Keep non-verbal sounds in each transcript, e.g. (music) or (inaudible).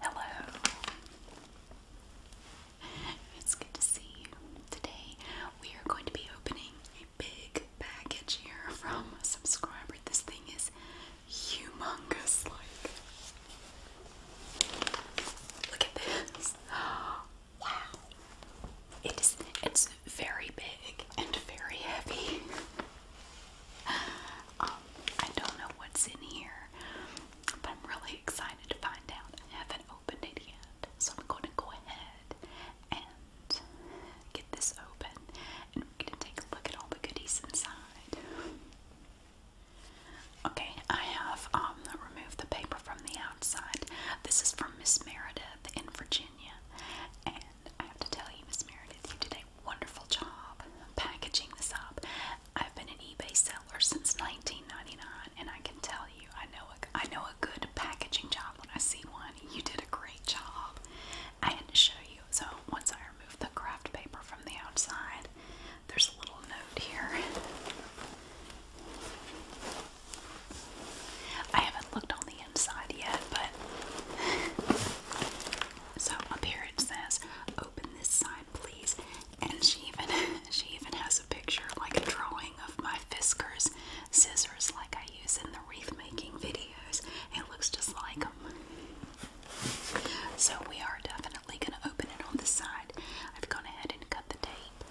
Hello. It's good to see you. Today we are going to be opening a big package here from a subscriber. This thing is humongous like. Look at this. (gasps) Wow. It is it's very big and very heavy. (laughs) Um, I don't know what's in here, but I'm really excited to find out. I haven't opened it yet, so I'm going to go ahead and get this open, and we're going to take a look at all the goodies inside. Okay, I have um, removed the paper from the outside. This is from Miss Meredith in Virginia, and I have to tell you, Miss Meredith, you did a wonderful job packaging this up. I've been an eBay seller since 1999, and I can tell you, I know a, I know a good packaging job when I see one. You did a great job. I had to show you. So once I remove the craft paper from the outside, there's a little note here. I haven't looked on the inside yet, but (laughs) so up here says open this side, please?" And she even (laughs) she even has a picture, like a drawing of my Fiskars scissors, like I use in the wreath making videos. It looks just like them. So we are definitely going to open it on the side. I've gone ahead and cut the tape.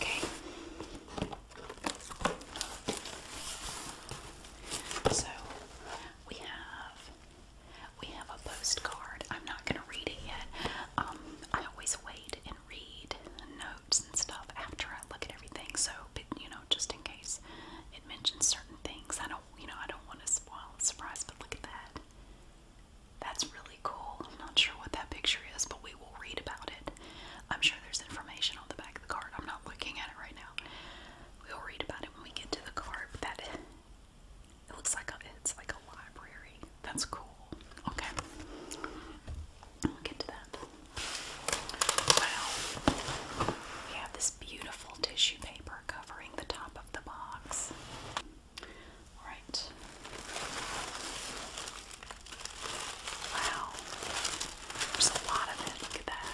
Okay. So we have we have a postcard. I'm not going to read it yet. Um, I always wait and read notes and stuff after I look at everything. So, you know, just in case it mentions certain things, I don't, you know, I don't want to spoil the surprise. But look at that. That's really cool. I'm not sure what that picture is, but we will read about it. I'm sure there's information on the back of the card. I'm not looking at it right now. We'll read about it when we get to the card. But that it looks like a, it's like a library. That's cool. Okay. We'll get to that. Well, we have this beautiful tissue paper covering the top of the box. Alright. Wow. There's a lot of it. Look at that.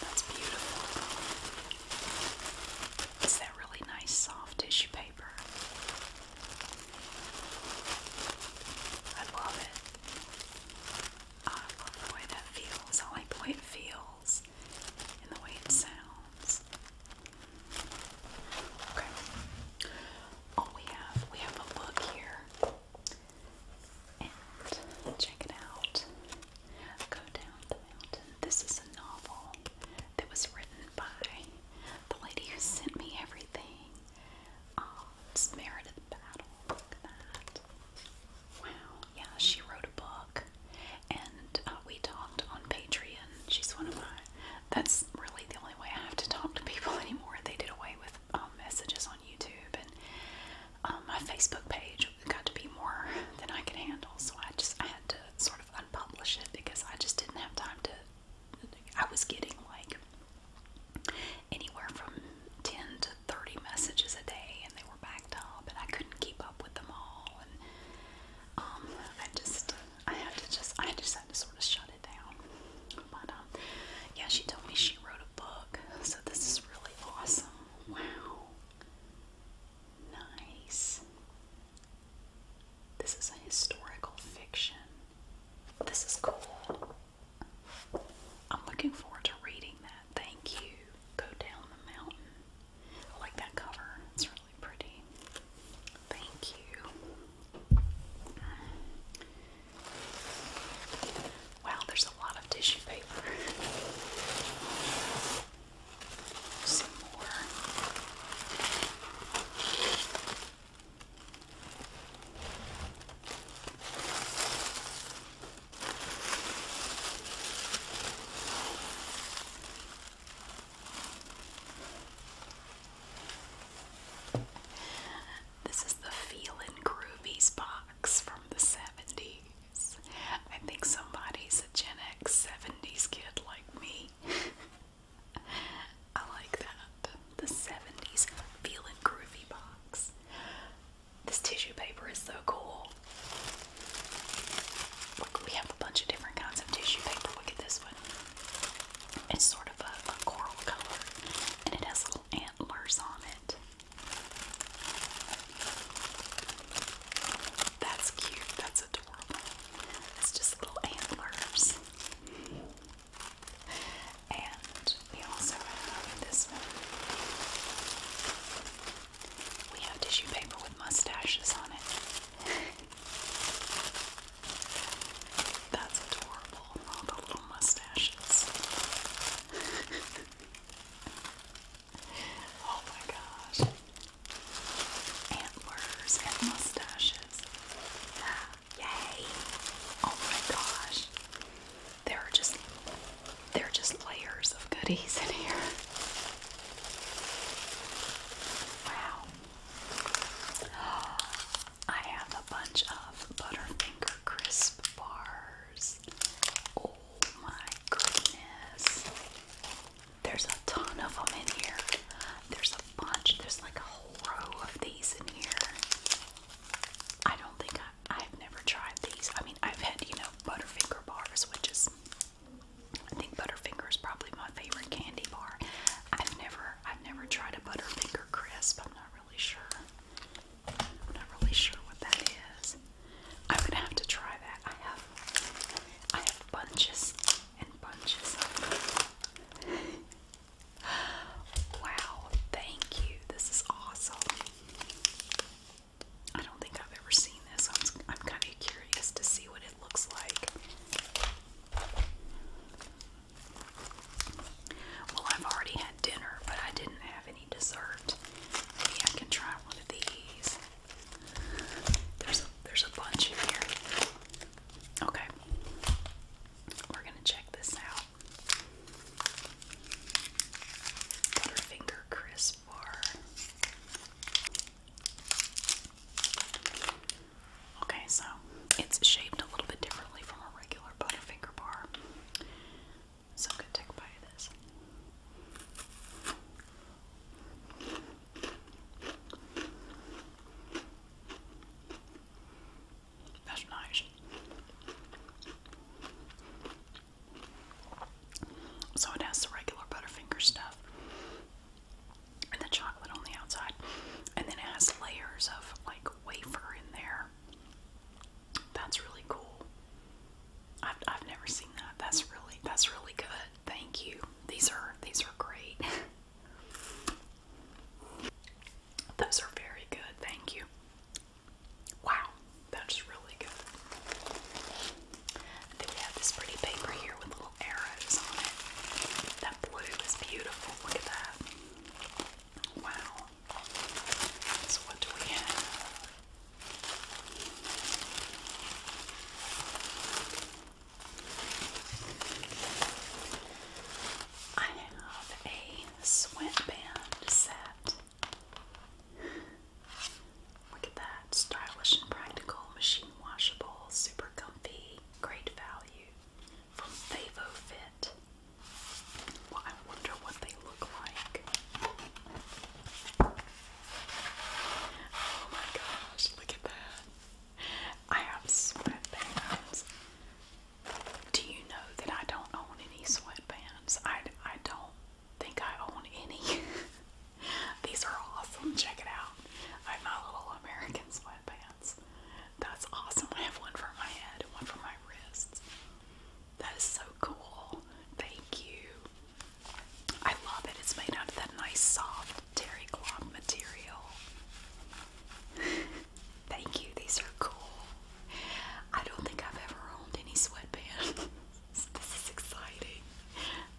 That's beautiful. It's that really nice soft tissue paper. I love it. I love the way that feels. I like the way it feels and the way it sounds. Okay. All oh, we have, we have a book here. And check it out. Go down this is a novel that was written by the lady who sent me everything. Oh, Battle. Wow. Yeah, she wrote a book, and uh, we talked on Patreon. She's one of my. That's really the only way I have to talk to people (laughs) anymore. They did away with um, messages on YouTube, and um, my Facebook page got to be more than I could handle, so I just I had to sort of unpublish it because I just didn't have time to. I was getting like anywhere from ten to thirty messages a day, and they were backed up, and I couldn't keep up with them all, and um, I just I had to just I just had to sort of shut it down. But um, yeah, she told me she wrote a book, so this is really awesome. Wow. Nice. This is a historical fiction. This is cool. I'm looking forward to reading that. Thank you. Go down the mountain. like that cover. It's really pretty. Thank you. Wow, there's a lot of tissue paper some more. This is the Feelin' Groovies box from the 70s. I think somebody's a Gen X 70s kid like me. (laughs) I like that. The 70s feeling groovy box. This tissue paper is so cool. we have a bunch of different kinds of tissue paper. Look at this one. It's sort of a coral color and it has little antlers on it. That's cute. That's adorable. It's just little antlers. And we also have this one. We have tissue paper with mustaches on it. That's adorable. little mustaches. (laughs) Oh my gosh. Antlers and mustaches. (gasps) Yay! Oh my gosh. There are just there are just layers of goodies in here. Wow. (gasps) I have a bunch of Butterfinger crisp bars my goodness. There's a ton of them in here. There's a bunch. There's like a whole row of these in here. I don't think I've never tried these. I mean, I've had, you know, Butterfinger bars, which is, I think Butterfinger is probably my favorite candy bar. I've never, I've never tried a Butterfinger crisp. I'm not really sure. I'm not really sure what that is. I'm gonna have to try that. I have I have bunches and bunches. (laughs) wow, thank you. This is awesome. I don't think I've ever seen this. I'm, kind of curious to see what it looks like. Well, I've already had dinner, but I didn't have any dessert. Maybe I can try one of these. There's a, there's a bunch in here. Okay. We're going to check this out. Butterfinger crisp bar. Okay, so it's shaped a little bit differently from a regular Butterfinger bar. So i to bite this. That's nice. So it has the regular Butterfinger stuff and the chocolate on the outside, and then it has layers of like wafer in there. That's really cool. I've, never seen that. That's really that's really good. Thank you. These are these are great. (laughs) Those are very good. Thank you. Wow, that's really good. we have this pretty paper here with little arrows on it. That blue is beautiful. Look at that. Wow. So what do we have? I have a sweatband set. Look at that. Stylish and practical, machine washable, super comfy, great value from Favo Fit. Well, I wonder what they look like. Oh my gosh, look at that. I have sweatbands. Do you know that I don't own any sweatbands? I, I don't think I own any. (laughs) These are awesome. Check it out. I have my little American sweatbands. That's awesome. I have one for my head and one for my wrists. That is so cool. Thank you. I love it. It's made out of that nice soft terry cloth material. (laughs) Thank you. These are cool. I don't think I've ever owned any sweatbands. (laughs) this is exciting.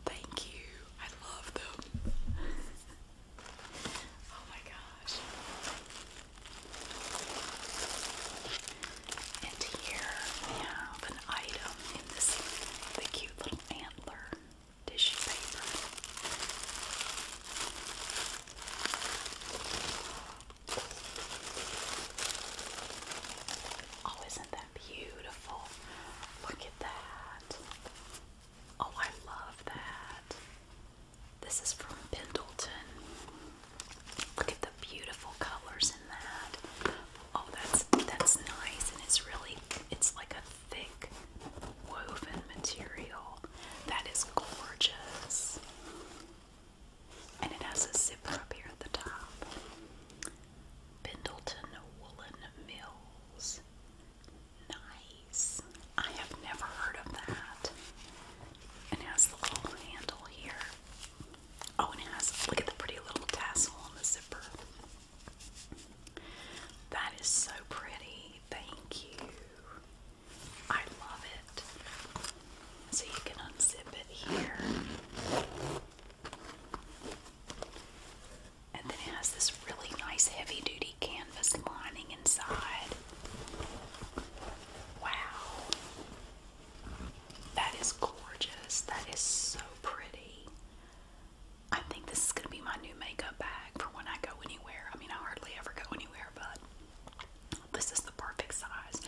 Thank you. I love them. (laughs) oh my gosh. And here we have this Oh, isn't that beautiful? Look at that. Oh, I love that. This is from Pendleton. Look at the beautiful colors in that. Oh, that's that's nice, and it's really it's like a thick woven material. That is gorgeous. And it has a zipper up here at the top. Pendleton Woolen Mills. Nice. I have never heard of that. it has the little handle here. Oh, and it has, look at the pretty little tassel on the zipper. That is so pretty. Thank you. I love it. So you can unzip it here. And then it has this really nice heavy duty canvas lining inside. Wow. That is gorgeous. That is so pretty. I think this is going to be my new makeup bag for when I go anywhere. I mean, I hardly ever go anywhere, but this is the perfect size.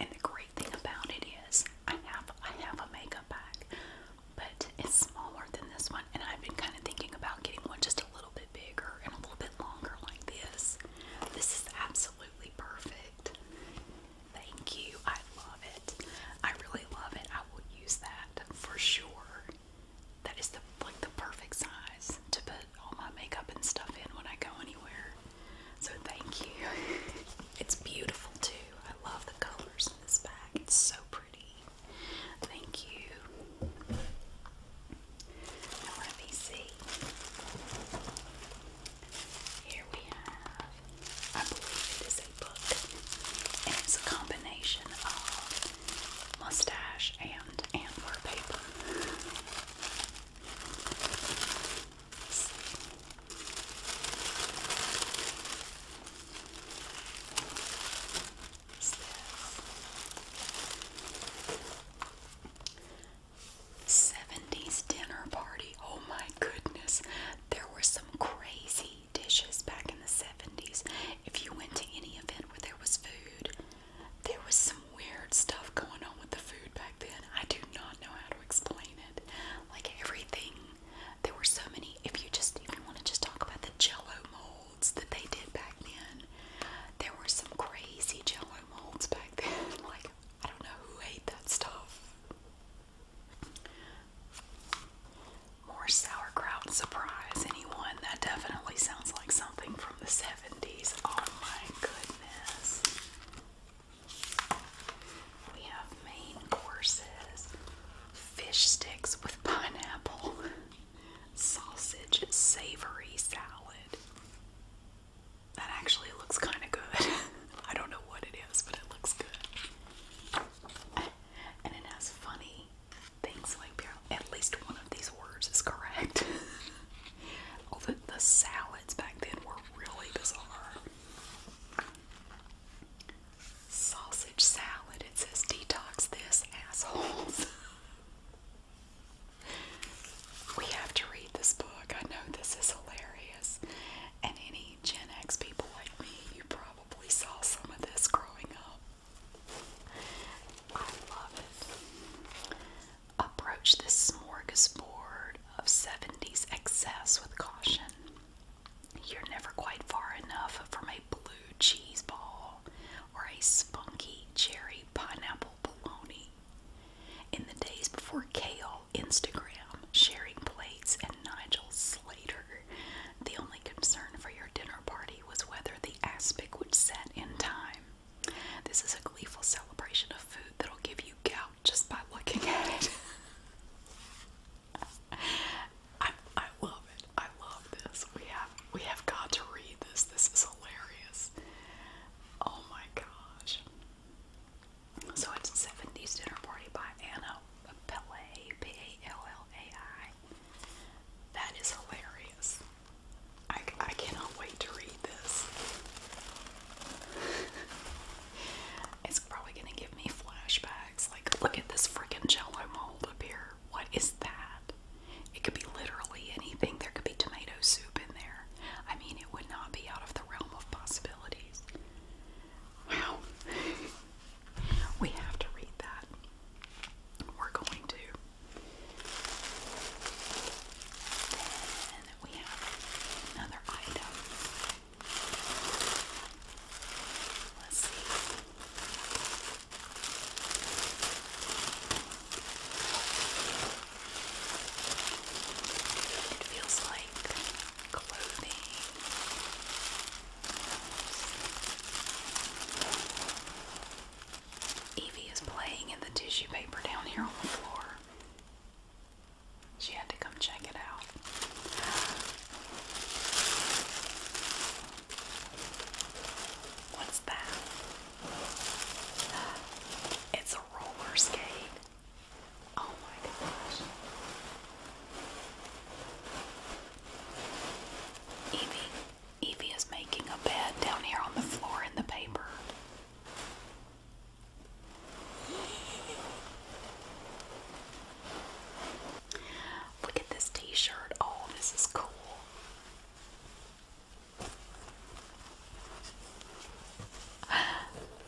And the great thing about it is I have I have a makeup bag, but it's smaller than this one. And I've been kind of thinking about getting one just a little bit bigger and a little bit longer like this. This is absolutely perfect. Thank you. I love it. I really love it. I will use that for sure. That is the like the perfect size to put all my makeup and stuff in when I go anywhere. So thank you. (laughs) It's beautiful too. I love the colors in this bag. It's so pretty. Thank you. Now let here we have, I believe it is a book, and it's a combination of mustache and antler paper. Seventies dinner party. Oh my goodness. There were some crazy dishes back in the 70s. If you went to any event where there was food, there was some weird stuff going on with the food back then. I do not know how to explain it. Like everything, there were so many. If you just I want to just talk about the jello molds that they did back then, there were some crazy jello molds back then. (laughs) Like, I don't know who ate that stuff. More sauerkraut surprise, anyone? That definitely sounds like something from the 70s. Oh my goodness. We have main courses fish sticks with pineapple, sausage, savory salad. That actually looks kind of good. (laughs) I don't know what it is, but it looks good. And it has funny things like at least one of these words is correct. oh, (laughs) the, the salads back then were really bizarre. Sausage salad. It says detox this, assholes. (laughs) we have to read this book. I know this is hilarious. And any Gen X people like me, you probably saw some of this growing up. I love it. Approach this smorgasbord of 70s excess with caution. You're never quite far enough from a blue cheese ball or a spunky cherry pineapple bologna. In the days before kale Instagram, sharing plates, and Nigel Slater. The only concern for your dinner party was whether the aspic would set in time. This is a gleeful celebration of food that'll give you gout just by looking at it. (laughs) I, I love it. I love this. We have we have got to read this. This is hilarious. Oh my gosh. So it's 70s Dinner Party by Anna Pellay, P A L L A I. That is hilarious. I, I cannot wait to read this. (laughs) it's probably going to give me flashbacks. Like, look at this freaking jello mold up here. What is that? It could be literally anything. There could be tomato soup in there. I mean, it would not be out of the realm of possibilities. Wow. we have to read that. We're going to. we have another item. Let's see. It feels like Evie is playing in the tissue paper down here on the floor. She had to come check it out. What's that? It's a roller skate. Oh my gosh. Evie, Evie is making a bed down here on the floor in the paper. Look at this t-shirt. Oh, this is cool.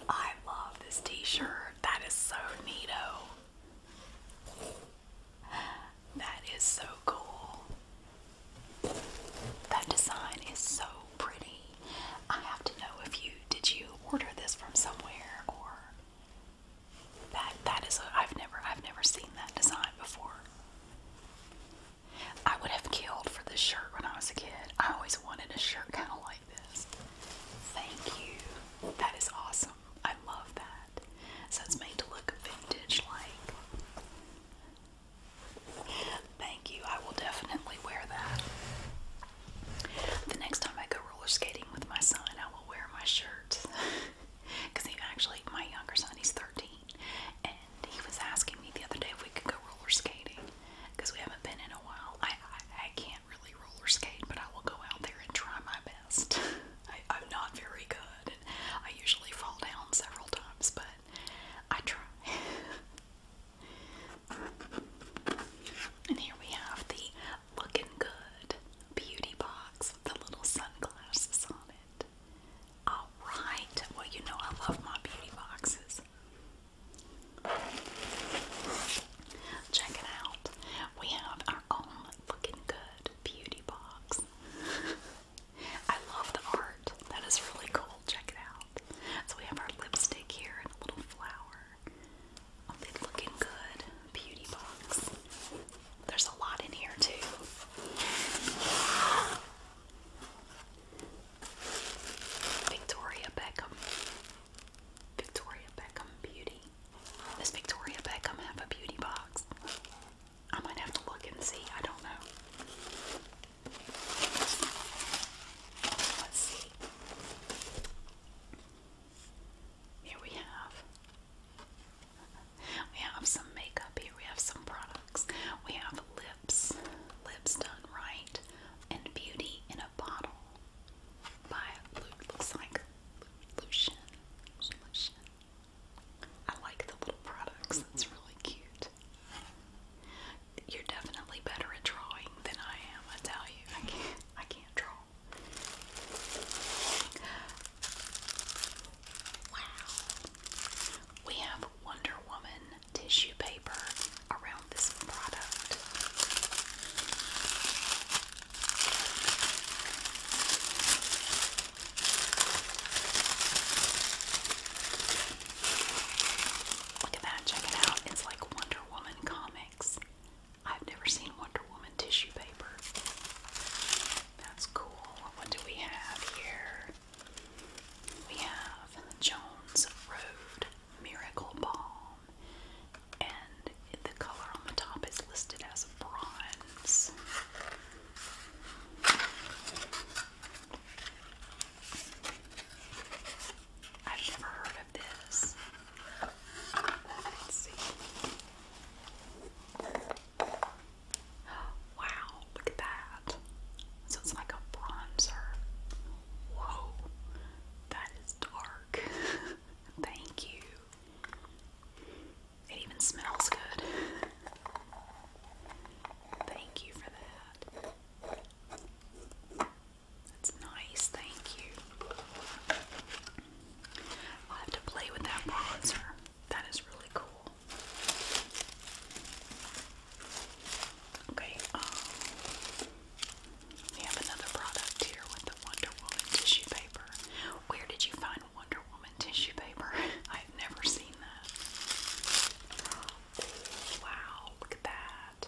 I love this t-shirt. That is so neato. That is so cool. That design is so pretty. I have to know if you did you order this from somewhere or that that is a, I've never I've never seen that design before. I would have killed for this shirt when I was a kid. I always wanted a shirt kind of like Thank you. That is awesome. I love that. So it's made to look vintage like. Thank you. I will definitely wear that. The next time I go roller skating with my son, I will wear my shirt. Because (laughs) he actually, my younger son, he's 13, and he was asking me the other day if we could go roller skating because we haven't been in a while. I, I can't really roller but I will go out there and try my best. (laughs) I, am not very good, and I usually fall down several times, but I try. (laughs) and here we have the Looking Good Beauty Box with the little sunglasses on it. Alright, well, you know I love my beauty boxes. Check it out. We have our own looking good beauty box. (laughs) I love the art. That is really cool. Check it out. So we have our lipstick here and a little flower. On looking good beauty box. There's a lot in here too. (gasps) Victoria Beckham. Victoria Beckham Beauty. Does Victoria Beckham have a beauty box? I might have to look and see. I don't know. Let's see. Here we have we have some makeup here. We have some products. We have lips, lips done right, and beauty in a bottle by looks like Lucian. Lucian. I like the little products. It's mm-hmm. really cute. You're definitely better at drawing than I am. I tell you, I can't. I can't draw. Wow. We have Wonder Woman tissue paper around Look at that, check it out. It's like Wonder Woman comics. I've never seen Wonder Woman tissue paper. That's cool. What do we have here? We have Jones Road Miracle Balm and the color on the top is listed as bronze. I've never heard of this. Let's see. (gasps) Wow, look at that. So it's like a bronzer. Whoa, that is dark. (laughs) Thank you. It even smells good. Thank you for that. That's nice, thank you. i have to play with that bronzer. That is really cool. Okay, um, we have another product here with the Wonder Woman tissue paper. Where did you find Wonder Woman tissue paper? (laughs) I've never seen that. wow, look at that.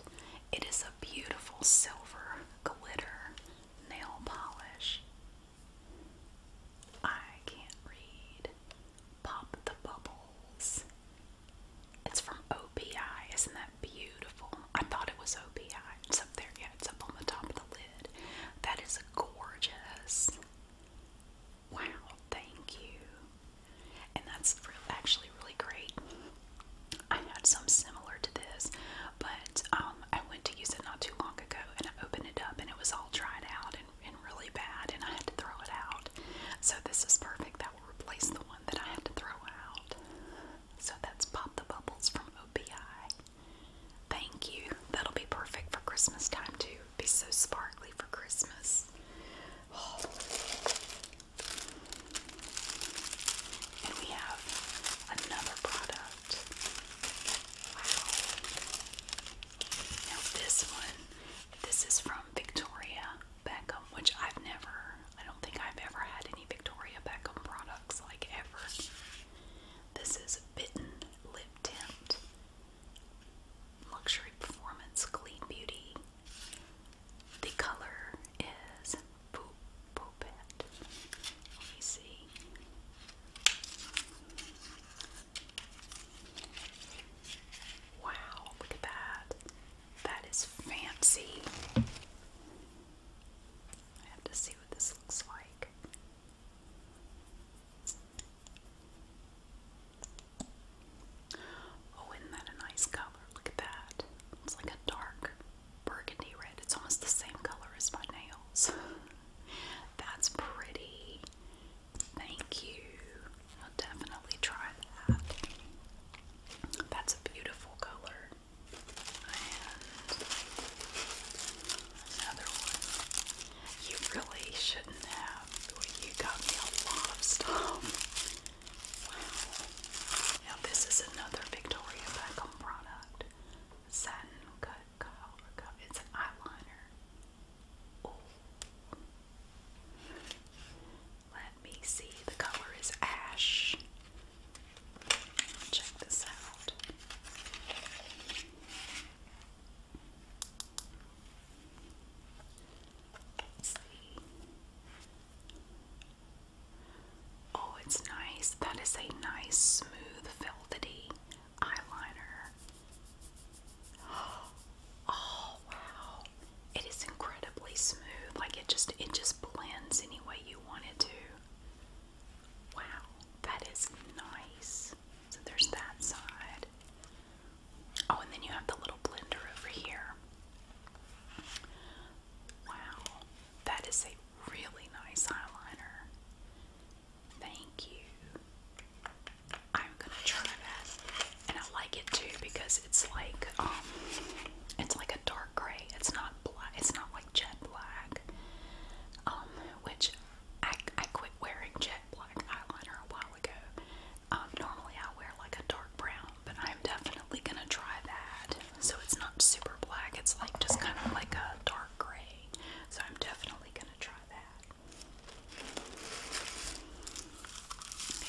It is a beautiful silver glitter nail polish. I can't read. Pop the bubbles. It's from OPI. Isn't that beautiful? I thought it was OPI. It's up there. Yeah, it's up on the top of the lid. That is gorgeous. Wow, thank you. And that's actually really great. I had some similar to this, but um, I went to use it not too long ago and I opened it up and it was all dried out and really bad and I had to throw it out. So this is perfect. That will replace the one that I had to throw out. So that's Pop the Bubbles from OPI. Thank you. That'll be perfect for Christmas time too. Be so sparkly for Christmas. And we have another product. Now this one, this is from Victoria Beckham, which I've never I don't think I've ever had any Victoria Beckham products like ever. This is Bitten Lip Tint Luxury Performance Clean Beauty. The color is Poop Poopette. Let me see. Wow, look at that. That is fancy. I have to see what this looks like. Oh, isn't that a nice color? Look at that. It's like a dark burgundy red. It's almost the same color as my nails. (laughs) That's pretty. Thank you. I'll definitely try that. That's a beautiful color. You really shouldn't have. You got me a lot of stuff. Now this is another Victoria Beckham product. Satin cut cover It's an eyeliner. Oh. Let me see. The color is ash. Check this out. Oh, it's nice. That is a nice, smooth, velvety eyeliner. (gasps) Oh, wow. It is incredibly smooth. Like it just it just blends any way you want it to. Wow, that is nice. So there's that side. Oh, and then you have the little blender over here. Wow, that is a really nice eyeliner. Thank you. I'm gonna try that, and I like it too because it's like um, it's like a dark gray. It's not black. It's not like jet black. Um, which I I quit wearing jet black eyeliner a while ago. Um, normally I wear like a dark brown, but I'm definitely gonna try that. So it's not super black. It's like just kind of like a dark gray. So I'm definitely gonna try that.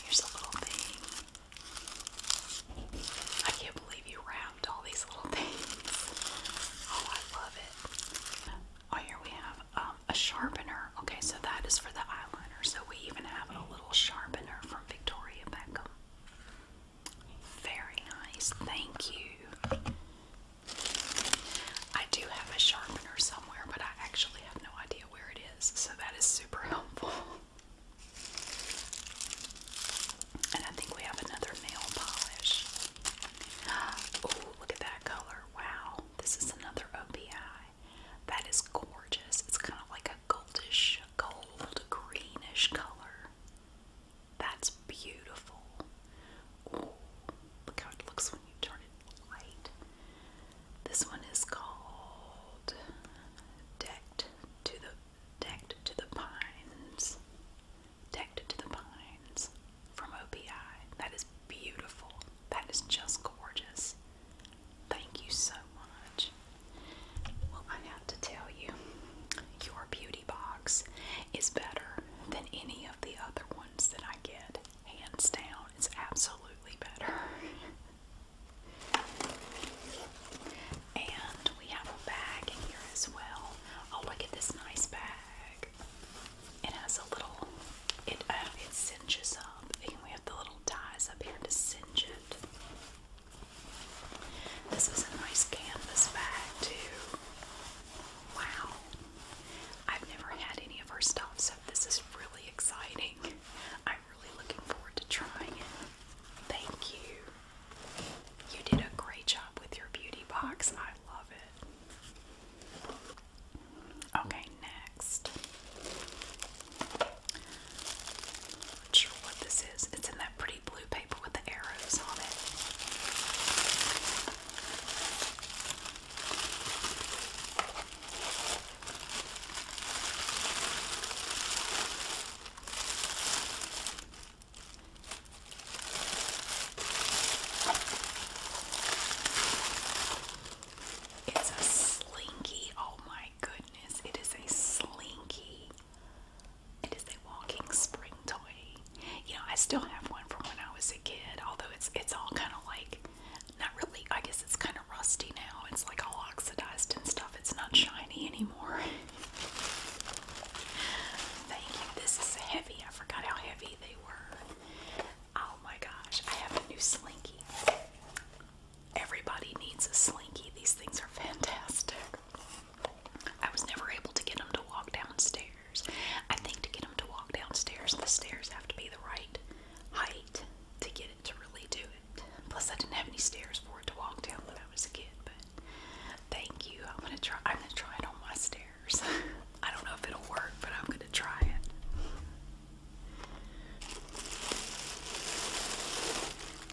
Here's a little thing. I can't believe you wrapped all these little (laughs) things. Oh, I love it. Oh, here we have um, a sharpener. Okay, so that is for the eyeliner. So we even have a little sharpener from Victoria Beckham. Very nice. Thank you. I do have a sharpener somewhere, but I actually have no idea where it is. So that is super (laughs) helpful. And I think we have another nail polish. (gasps) Oh, look at that color. Wow. This is another OPI. That is gorgeous. It's kind of like a goldish, gold, greenish color. That's beautiful. look how it looks when you turn it light. This one is called Decked to the Decked to the Pines. Decked to the Pines from OPI. That is beautiful. That is just gorgeous. Thank you so much. Well, I have to tell you, your beauty box is better than any of the other ones that I get. Hands down, it's absolutely better. (laughs) And we have a bag in here as well. Oh, look at this nice bag. It has a little, it, uh, it cinches up, and we have the little ties up here to cinch it. This is a nice canvas bag, too. Wow. I've never had any of her stuff, so this is really exciting really looking forward to trying it. Thank you. You did a great job with your beauty box. I love it. Okay, next. Not sure what this is. It's in that pretty blue paper with the arrows on it. It's a slinky. Oh my goodness. It is a slinky. It is a walking spring toy. You know, I still have one from when I was a kid, although it's it's all kind of like not really I guess it's kind of rusty now. It's like all oxidized and stuff. It's not shiny anymore. (laughs) Thank you. This is heavy. I forgot how heavy they were. Oh my gosh. I have a new slinky. Everybody needs a slinky. These things are fantastic. I was never able to get them to walk downstairs. I think to get them to walk downstairs, the stairs have to be the right height to get to really do it. Plus, I didn't have any stairs for it to walk down when I was a kid. But thank you. I'm gonna try. I'm gonna try it on my stairs. (laughs) I don't know if it'll work, but I'm gonna try it.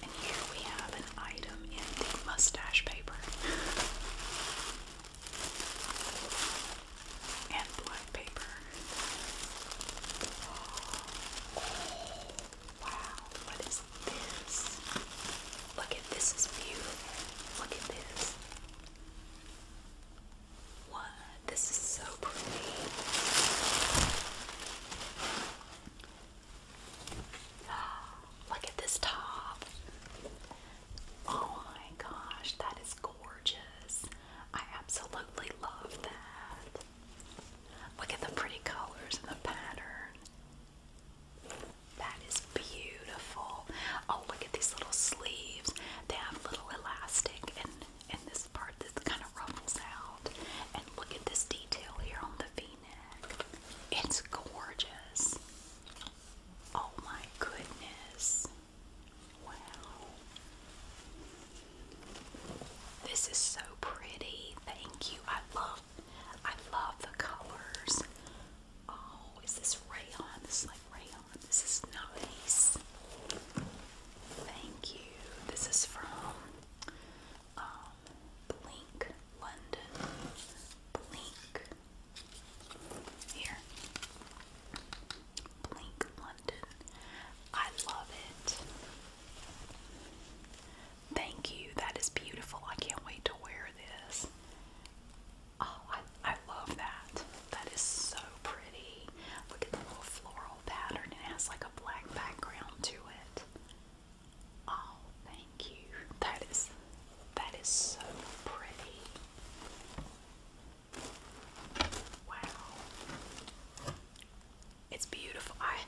And here we have an item in the mustache paper and black paper. Wow, what is this? Look at this is beautiful. Look at this. What? This is so pretty. (gasps) Look at this top. Oh my gosh, that is gorgeous. I absolutely love that. Look at the pretty colors and the pattern. That is beautiful. Oh, look at these little sleeves. They have little elastic and and this part that's kind of ruffles out. And look at this detail here on the v-neck. It's gorgeous. Oh my goodness. Wow. This is so pretty. Thank you. I love I love the colors. Oh, is this rayon? This is like rayon. This is nice. Thank you. This is from um, Blink London. Blink. Here. Blink London. I love it. Thank you. That is beautiful. I can't wait to wear this. Oh, I, I love that. That is so pretty. Look at the little floral pattern. It has like a black background to it. Oh, thank you. That is that is so pretty. Wow. It's beautiful. I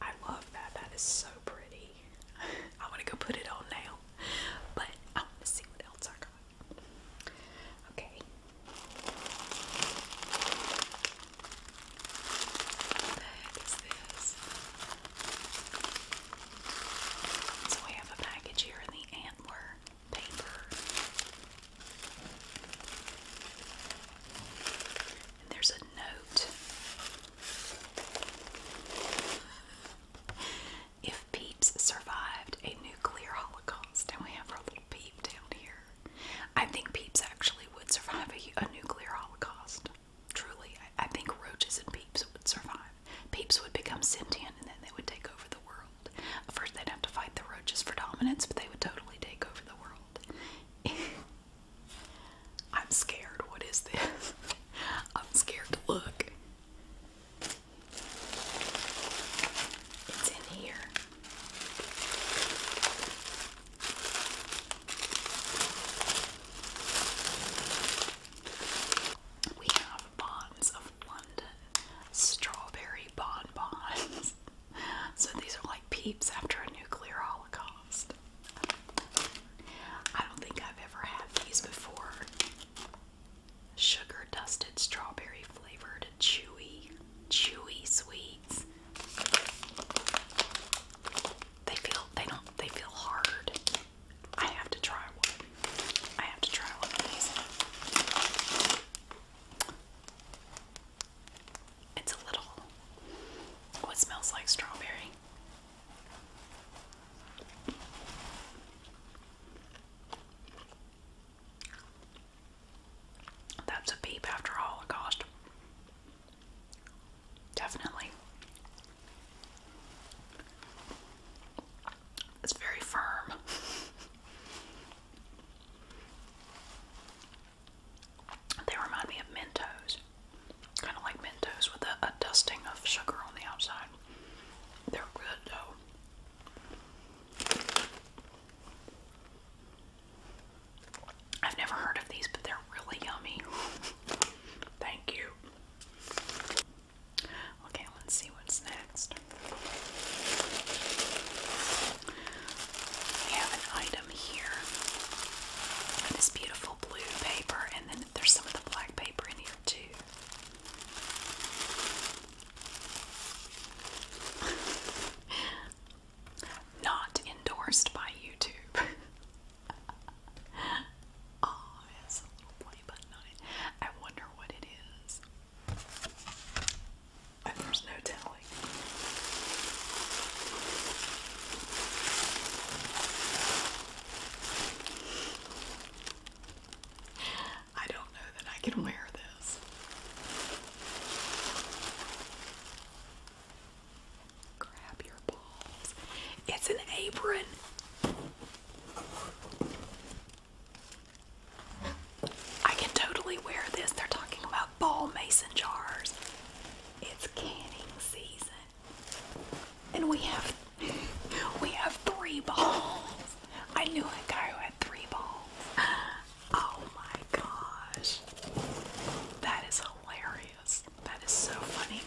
I love that. That is so pretty. (laughs) I want to go put it on now, but I want to see what else I got. Okay. What this? So we have a package here in the antler paper there's a note. If Peeps survived a nuclear holocaust, and we have our little Peep down here, I think Peeps actually would survive a, nuclear holocaust. Truly, I, I think roaches and Peeps would survive. Peeps would become sentient, and then they would take over the world. First, they'd have to fight the roaches for dominance, but they would totally take over the world. (laughs) I'm scared. What is this? (laughs) I'm scared to look. It's in here. We have Bonds of London strawberry bonbons. (laughs) so these are like peeps after a nuclear holocaust. I don't think I've ever had these before. Sugar dusted strawberry flavored chewy, chewy sweets. They feel they don't they feel hard. I have to try one. I have to try one of these. It's a little what smells like strawberry. That's a peep after Holocaust. Definitely. It's very firm. (laughs) They remind me of Mentos. Kind of like Mentos with a, dusting of sugar on the outside. They're good though. I've never heard of these, but they're really yummy. (laughs) Thank you. Okay, let's see what's next we have an item here. This beautiful blue paper, and then there's some of the black paper in here too. (laughs) Not endorsed by YouTube. (laughs) oh, it a little play button on it. I wonder what it is. there's no telling. I don't know that I can wear this. Grab your balls. It's an apron. I can totally wear this. They're talking about ball mason jars. It's canning season. And we have (laughs) we have three balls. I knew a guy who had three balls. Oh my gosh. That is hilarious. That is so funny.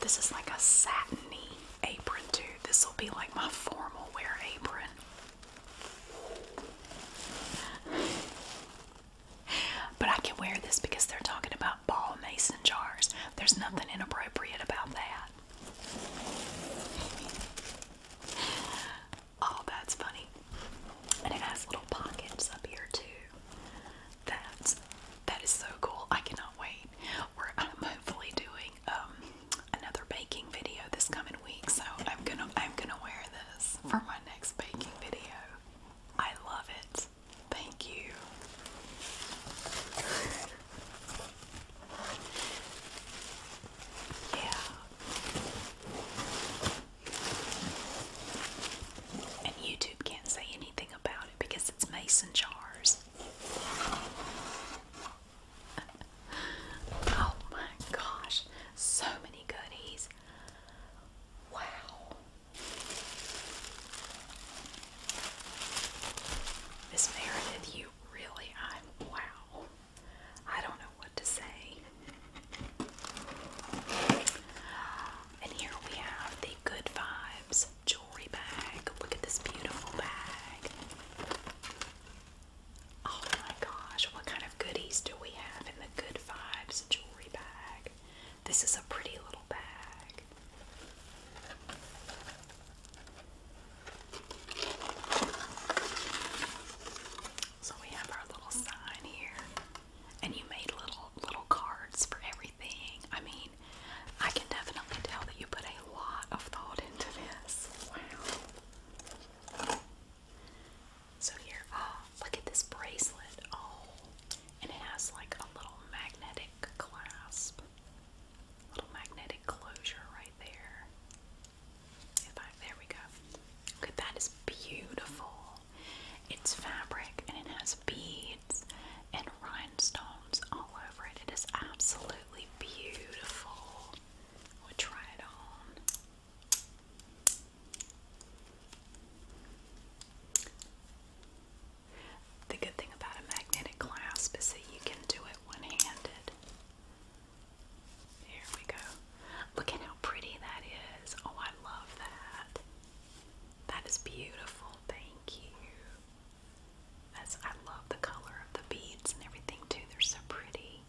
This is like a satiny apron dude. This will be like my formal wear apron. But I can wear this because they're talking about ball mason jars. There's nothing inappropriate about that. Oh, that's funny. And it has little pockets up here too. That's that is so cool. I cannot wait. We're I'm hopefully doing um another baking video this coming week, so I'm gonna I'm gonna wear this for my next baking video. I love it. Thank you. (laughs) yeah. And YouTube can't say anything about it because it's mason jars. (laughs) oh my gosh. So many goodies. Wow. Miss Meredith, you really, I'm wow. I don't know what to say. And here we have the Good Vibes jewelry bag. Look at this beautiful bag. Oh my gosh, what kind of goodies do we have in the Good Vibes jewelry bag? This is a pretty little bag. So we have our little sign here. And you made little little cards for everything. I mean, I can definitely tell that you put a lot of thought into this. Wow. So here, oh, look at this bracelet. Oh, and it has like a little magnetic clasp. Little magnetic closure right there. If I, there we go. Okay, that is beautiful. It's fabric and it has beads and rhinestones all over it. It is absolutely beautiful. we try it on. The good thing about a magnetic clasp is that you can do it one handed. There we go. Look at how pretty that is. Oh, I love that. That is beautiful. Thank you. That's, I love the color of the beads and everything too. They're so pretty.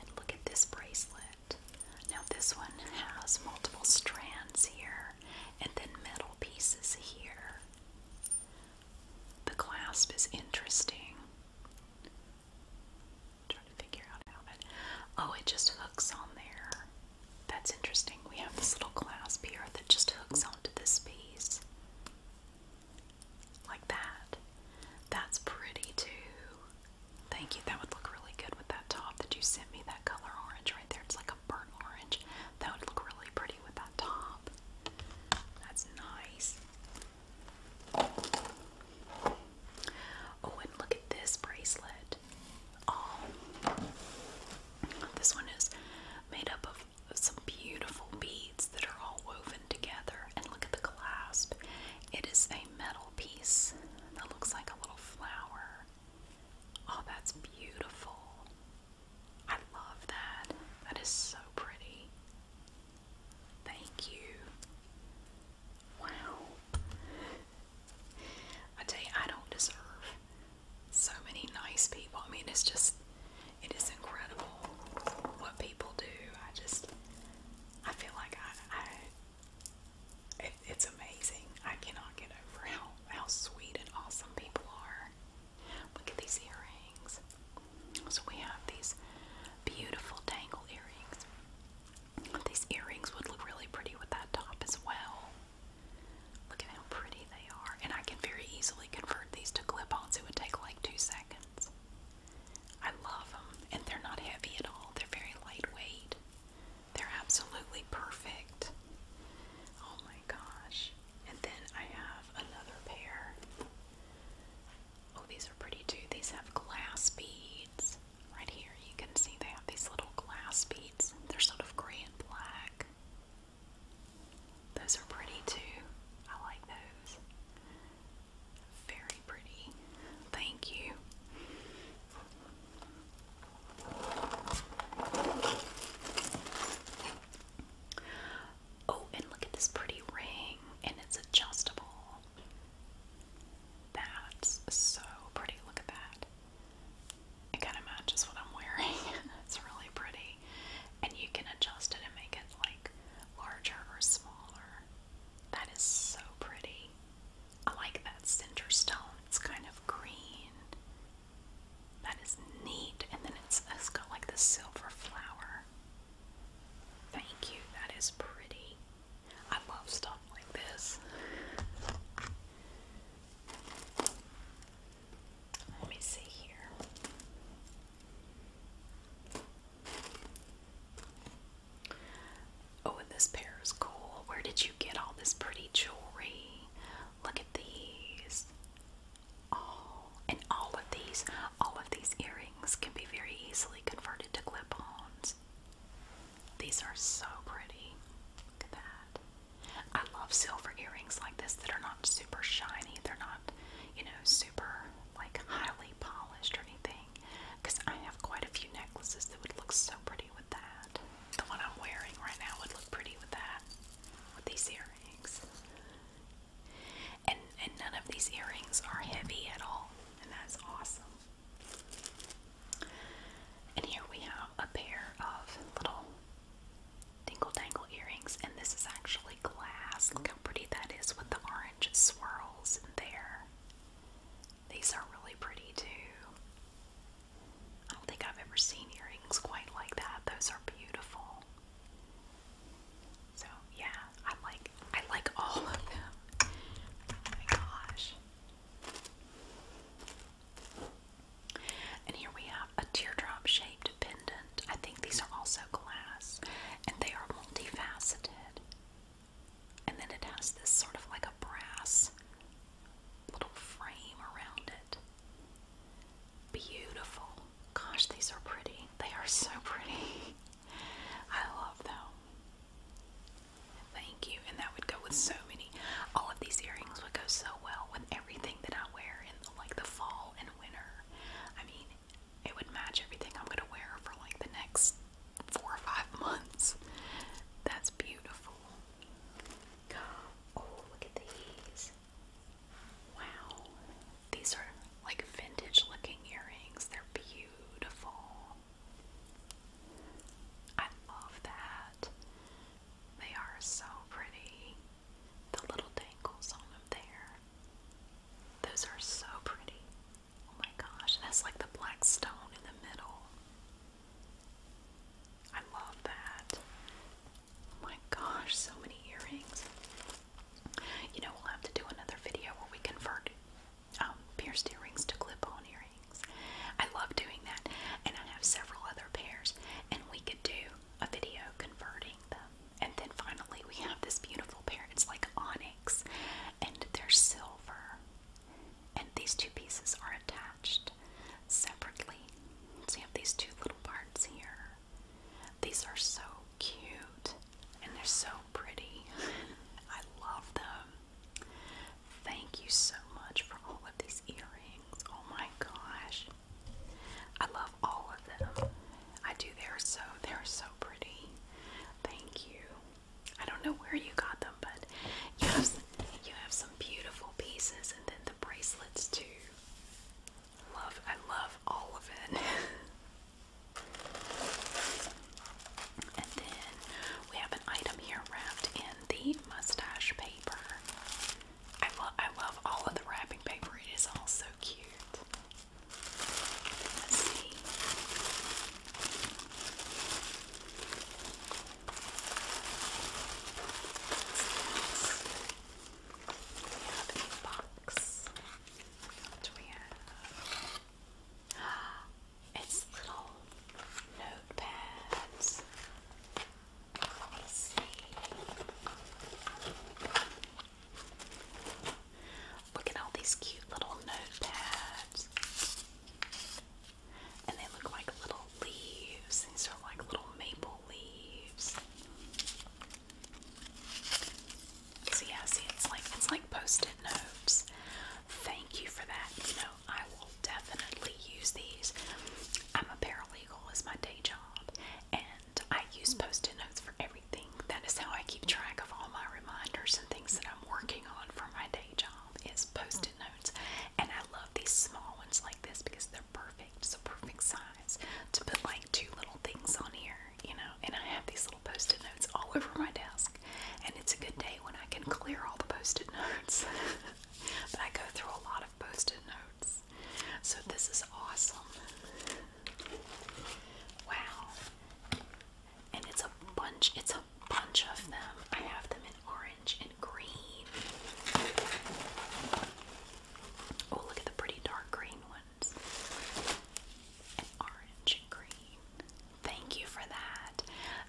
And look at this bracelet. Now, this one has multiple strands here and then metal pieces here. The clasp is interesting. trying to figure out how it. Oh, it just hooks on there. That's interesting. We have this little clasp here that just hooks onto this piece. Like that. That's pretty too. Thank you. That would look really good with that top that you sent me, that color orange right there. It's like a burnt orange. That would look really pretty with that top. That's nice. Oh, and look at this bracelet. Oh, this one is made up of some beautiful beads that are all woven together. And look at the clasp. It is a metal piece that looks like a little flower. Oh, that's beautiful. I love that. That is so pretty. Thank you. Wow. I tell you, I don't deserve so many nice people. I mean, it's just, it is incredible what people do. I just, I feel like I, it's amazing. I cannot get over how how sweet and awesome people are. Look at these earrings. So we have these beautiful tangle earrings. These earrings would look really pretty with that top as well. Look at how pretty they are. And I can very easily convert these to clip-ons. It would take like two seconds. I love them, and they're not heavy at all. They're very lightweight. They're absolutely perfect. Oh my gosh. And then I have another pair. Oh, these are pretty too. These have glass beads. Right here, you can see they have these little glass beads. They're sort of gray and black. Those are pretty too. I like those. Very pretty. Thank you. Oh, and look at this pretty ring, and it's adjustable. That's so pretty. Look at that. It kind of matches what I'm wearing. (laughs) it's really pretty. And you can adjust it and make it like larger or smaller. That is so pretty. I like that center stone. It's kind of green. That is neat. And then it's, it's got like the silver flower. Thank you. That is pretty. I love stuff like this. Let me see here. Oh, this pair is cool. Where did you get all this pretty jewelry? Look at these. Oh, and all of these, all of these earrings can be very easily converted to clip-ons. These are so pretty. Look at that. I love silver earrings like this that are not super shiny. They're not you know, super like highly polished or anything. Because I have quite a few necklaces that would look so pretty with that. The one I'm wearing right now would look pretty with that, with these earrings. And and none of these earrings are heavy at all, and that's awesome. And here we have a pair of little dingle dangle earrings, and this is actually glass. Look how pretty that is with the orange swirls in there. These are really pretty too. I don't think I've ever seen earrings quite like that. Those are beautiful. So yeah, I like I like all of them. Oh my gosh. And here we have a teardrop shaped pendant. I think these are also glass and they are multifaceted. And then it has this sort of like a brass little frame around it. Beautiful. Gosh, these are pretty. They are so pretty. (laughs) I love them. Thank you. And that would go with so many. All of these earrings would go so well with everything that I wear in like the fall and winter. I mean, it would match everything I'm gonna wear for like the next four or five months. That's beautiful. Oh, look at these. Wow. These are like vintage looking earrings. They're beautiful. I love that. They are so pretty. The little dangles on them there. Those are so pretty. Oh my gosh, that's like the black stone in the middle. I love that. Oh my gosh, so many earrings. You know, we'll have to do another video where we convert um, pierced earrings to clip on earrings. I love doing that, and I have several other pairs, and we could do a video converting them. And then finally, we have this beautiful pair. It's like onyx, and they're silver. And these two pieces are attached separately. So you have these two little parts here. These are so cute, and they're so pretty. (laughs) I love them. Thank you so much for all of these earrings. Oh my gosh. I love all of them. I do. They're so they're so pretty. Thank you. I don't know where you got them, but you you have some beautiful pieces, and then the bracelets too. Love, I love all of it. (laughs) and then we have an item here wrapped in the mustache paper. I love, I love all of the wrapping paper. It is all so cute. Let's see. We have a box. What do we have? It's little notepads. Let's see. Look at all these cute little notepads. And they look like little leaves. These are like little maple leaves. So yeah, see it's like it's like post-it notes. Thank you for that. You know, I will definitely use these. I'm a paralegal as my day job and I use post-it notes for everything everything. That is how I keep track of all my reminders and things that I'm working on for my day job is post-it notes. And I love these small ones like this because they're perfect. It's a perfect size to put like two little things on here, you know. And I have these little post-it notes all (laughs) over my desk. And it's a good day when I can clear all the post-it (laughs) notes. but I go through a lot of post-it notes. So this is awesome. Wow and it's a bunch it's a bunch of them i have them in orange and green oh look at the pretty dark green ones orange and green thank you for that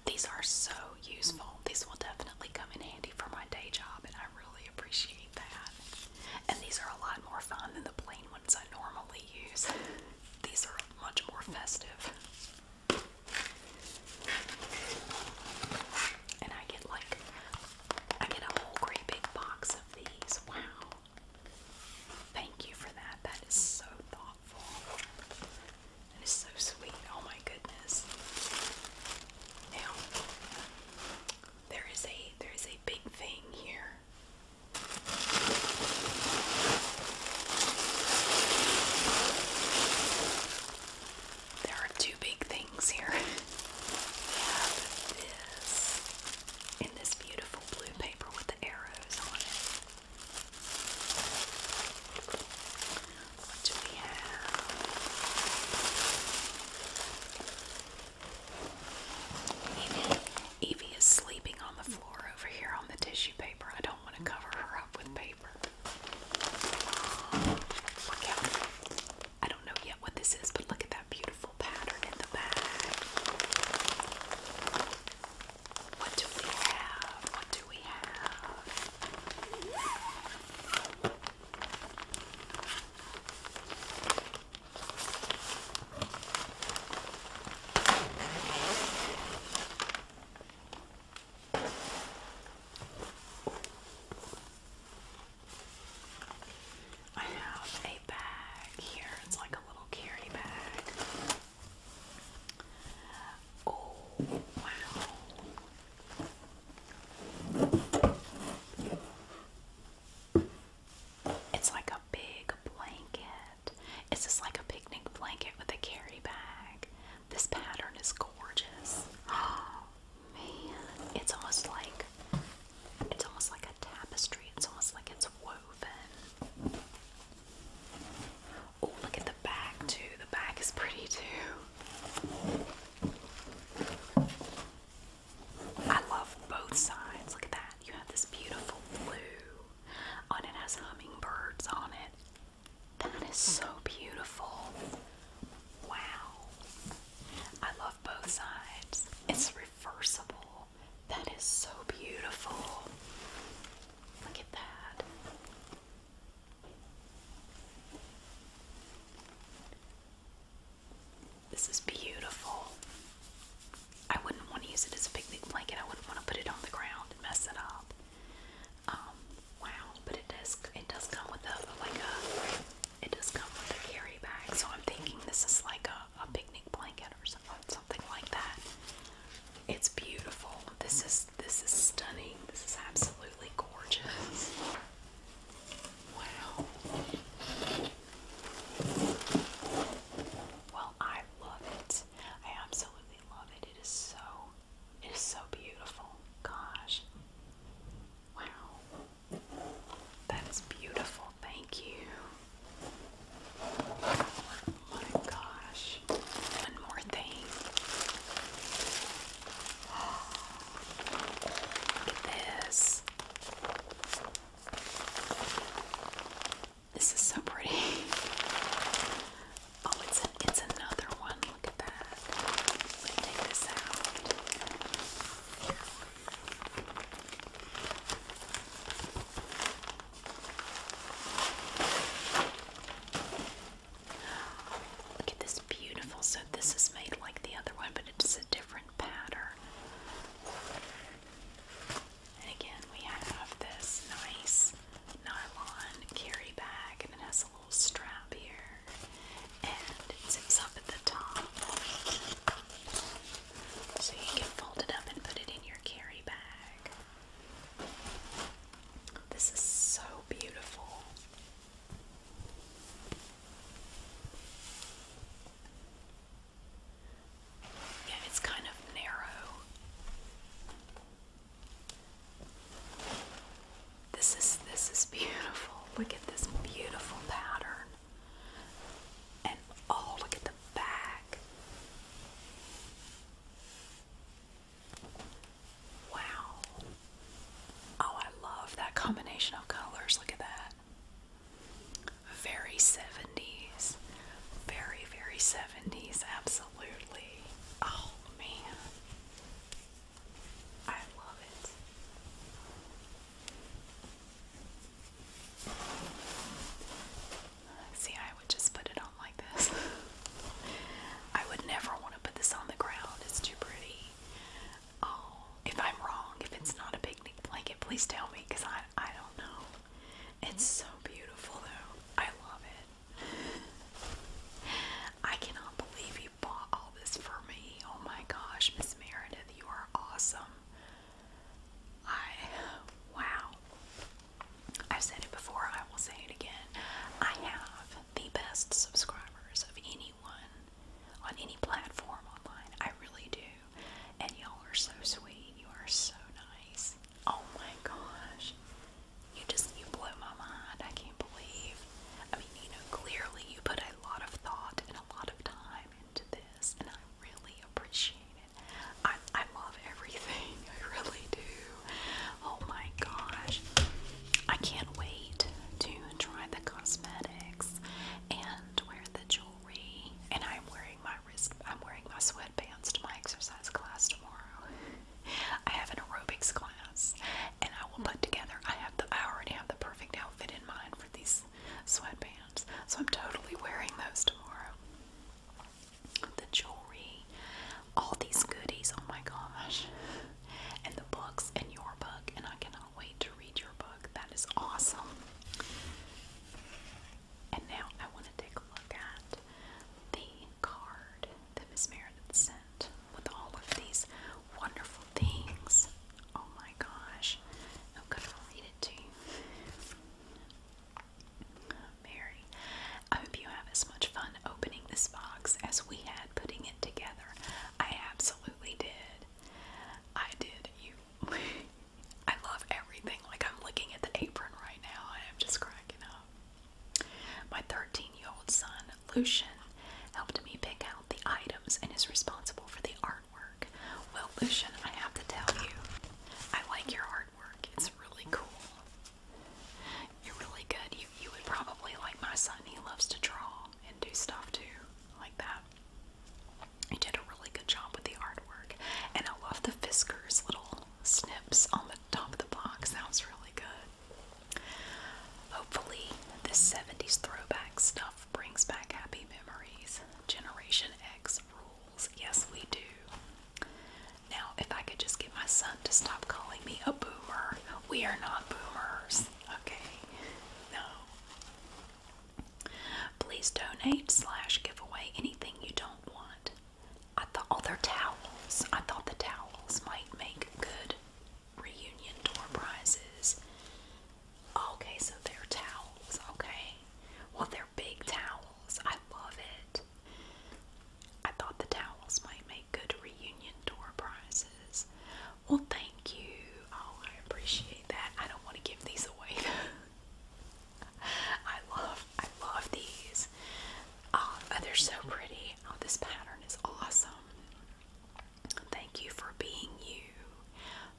these are so useful these will definitely come in handy for my day job and i really appreciate that and these are a lot more fun than the plain ones i normally use (laughs) These are much more festive. And I get like I get a whole great big box of these. Wow. Thank you for that. That is so thoughtful. That is so sweet. Oh my goodness. Now there is a there is a big thing here there are two big things here. (laughs) we have this in this beautiful blue paper with the arrows on it. What do we have? Evie is sleeping on the floor over here on the tissue paper. I don't want to cover her up with paper. I don't know yet what this is, but look at that beautiful pattern in the back. What do we have? What do we have? I have a bag here, it's like a little carry bag. Oh, wow. It's like a big blanket. It's just like a picnic blanket with a carry bag. This pattern is gorgeous. Oh (gasps) man, it's almost like it's almost like a tapestry. It's almost like it's woven. Oh, look at the back too. The back is pretty too. I love both sides. Look at that. You have this beautiful blue and it has hummingbirds on it. That is so beautiful. Wow. I love both sides. It's reversible. That is so beautiful. Look at that. This is beautiful. I wouldn't want to use it as a picnic blanket. I wouldn't want to put it on the ground and mess it up. Um, wow, but it does it does come with a like a it does come with a carry bag. So I'm thinking this is like a, a picnic blanket or something like that. It's beautiful. This is this is stunning. This is absolutely gorgeous. Wow. Well, I love it. I absolutely love it. It is so it is so beautiful. Gosh. Wow. That is beautiful. Thank you. Oh my gosh. One more thing. Look at this. This is so pretty. Oh, it's it's another one. Look at that. take this out. Look at this beautiful. So this is made like the other one, but it's a different pattern. And again, we have this nice nylon carry bag, and it has a little strap here, and it zips up at the top. So you can fold it up and put it in your carry bag. This is so beautiful. Yeah, it's kind of narrow. This is this is beautiful. Look at this beautiful pattern. And oh, look at the back. Wow. Oh, I love that combination of colors. Look at that. Very 70s. Very, very 70s. Absolutely. Oh man. I love it. See, I would just put it on like this. (laughs) I would never want to put this on the ground. It's too pretty. Oh, if I'm wrong, if it's not a picnic blanket, please tell me because I, I don't know. It's so beautiful though. I love it. I cannot believe you bought all this for me. Oh my gosh, Miss Meredith, you are awesome. I wow. I've said it before, I will say it again. I have the best subscribers of anyone on any platform online. I really do. And y'all are so sweet. You are so nice. Oh my gosh. You just, you blow my mind. I can't believe. I mean, you know, clearly you put a lot of thought and a lot of time into this, and I really appreciate it. I, I love everything. (laughs) I really do. Oh my gosh. I can't wait to try the cosmetics and wear the jewelry. And I'm wearing my I'm wearing my sweatpants to my exercise class tomorrow. (laughs) I have an aerobics class and I will put together I have the I already have the perfect outfit in mind for these sweatpants. So I'm totally wearing those tomorrow. The jewelry, all these goodies, oh my gosh. And the books and your book and I cannot wait to read your book. That is awesome. And now I want to take a look at the card that Miss Meredith sent with all of these wonderful things. Oh my gosh. I'm going to read it to you. Mary, I hope you have as much fun opening this box as we had putting it together. I absolutely did. I did. You (laughs) I love everything. Like I'm looking at the apron right now I'm just cracking up. My 13-year-old son, Lucian, helped me pick out the items and is responsible for the artwork. Well, Lucian, I have to tell you, I like your artwork. It's really cool. You're really good. you would probably like my son. He loves to draw and do stuff too, like that. You did a really good job with the artwork, and I love the Fisker's little snips on the top of the box. That was really good. Hopefully, this 70s throwback stuff brings back happy memories. Generation X rules. Yes, we do. Now, if I could just get my son to stop calling me a boomer, we are not boomers. Okay. No. Please donate slash give away anything you don't want. I thought all oh, their towels. I thought the towels might make good reunion door prizes. Okay, so they're towels. Okay, well they're big towels. I love it. I thought the towels might make good reunion door prizes. Well, thank you. Oh, I appreciate that. I don't want to give these away. (laughs) I love, I love these. Oh, they're so pretty. Oh, this pattern is awesome. Thank you for being you,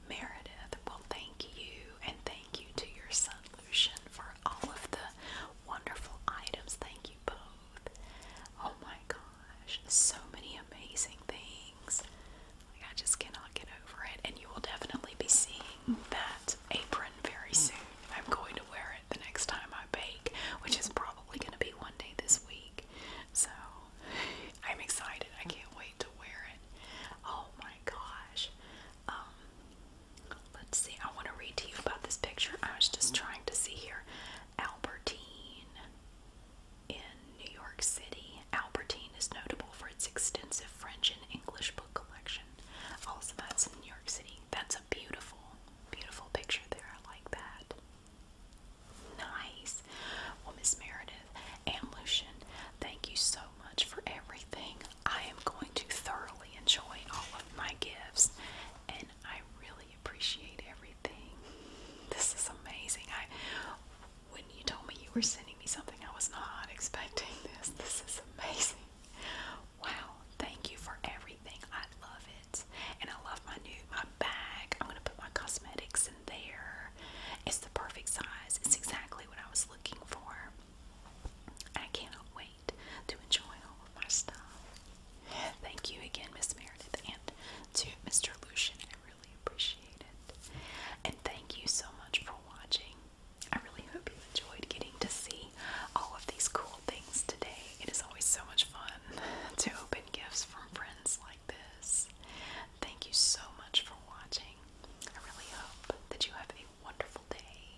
Meredith. Well, thank you, and thank you to your son Lucian for all of the wonderful items. Thank you both. Oh my gosh, so many amazing things. I just cannot get over it. And you will definitely be seeing that apron very soon. I'm going to wear it the next time I bake, which is probably going to be one day this week. So I'm excited. I can't wait to wear it. Oh my gosh. Um, let's see. I want to read to you about this picture. I was just trying to see here. Albertine in New York City. Albertine is notable for its extensive French and English collection. Also, that's New York City. That's a beautiful, beautiful picture there. I like that. Nice. Well, Miss Meredith and Lucian, thank you so much for everything. I am going to thoroughly enjoy all of my gifts, and I really appreciate everything. This is amazing. I you told me you were sending me something, I was not expecting this. This is amazing. Wow, thank you for everything. I love it. And I love my new my bag. I'm gonna put my cosmetics in there. It's the perfect size. It's exactly what I was looking for. I cannot wait to enjoy all of my stuff. Thank you again, Miss Meredith, and to Mr. Lucian. I really appreciate it. And thank you so much for watching. I really hope you enjoyed getting to see all of these cool things today. It is always so much fun to open gifts from friends like this. Thank you so much for watching. I really hope that you have a wonderful day,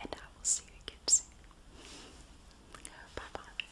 and I will see you again soon. Bye bye.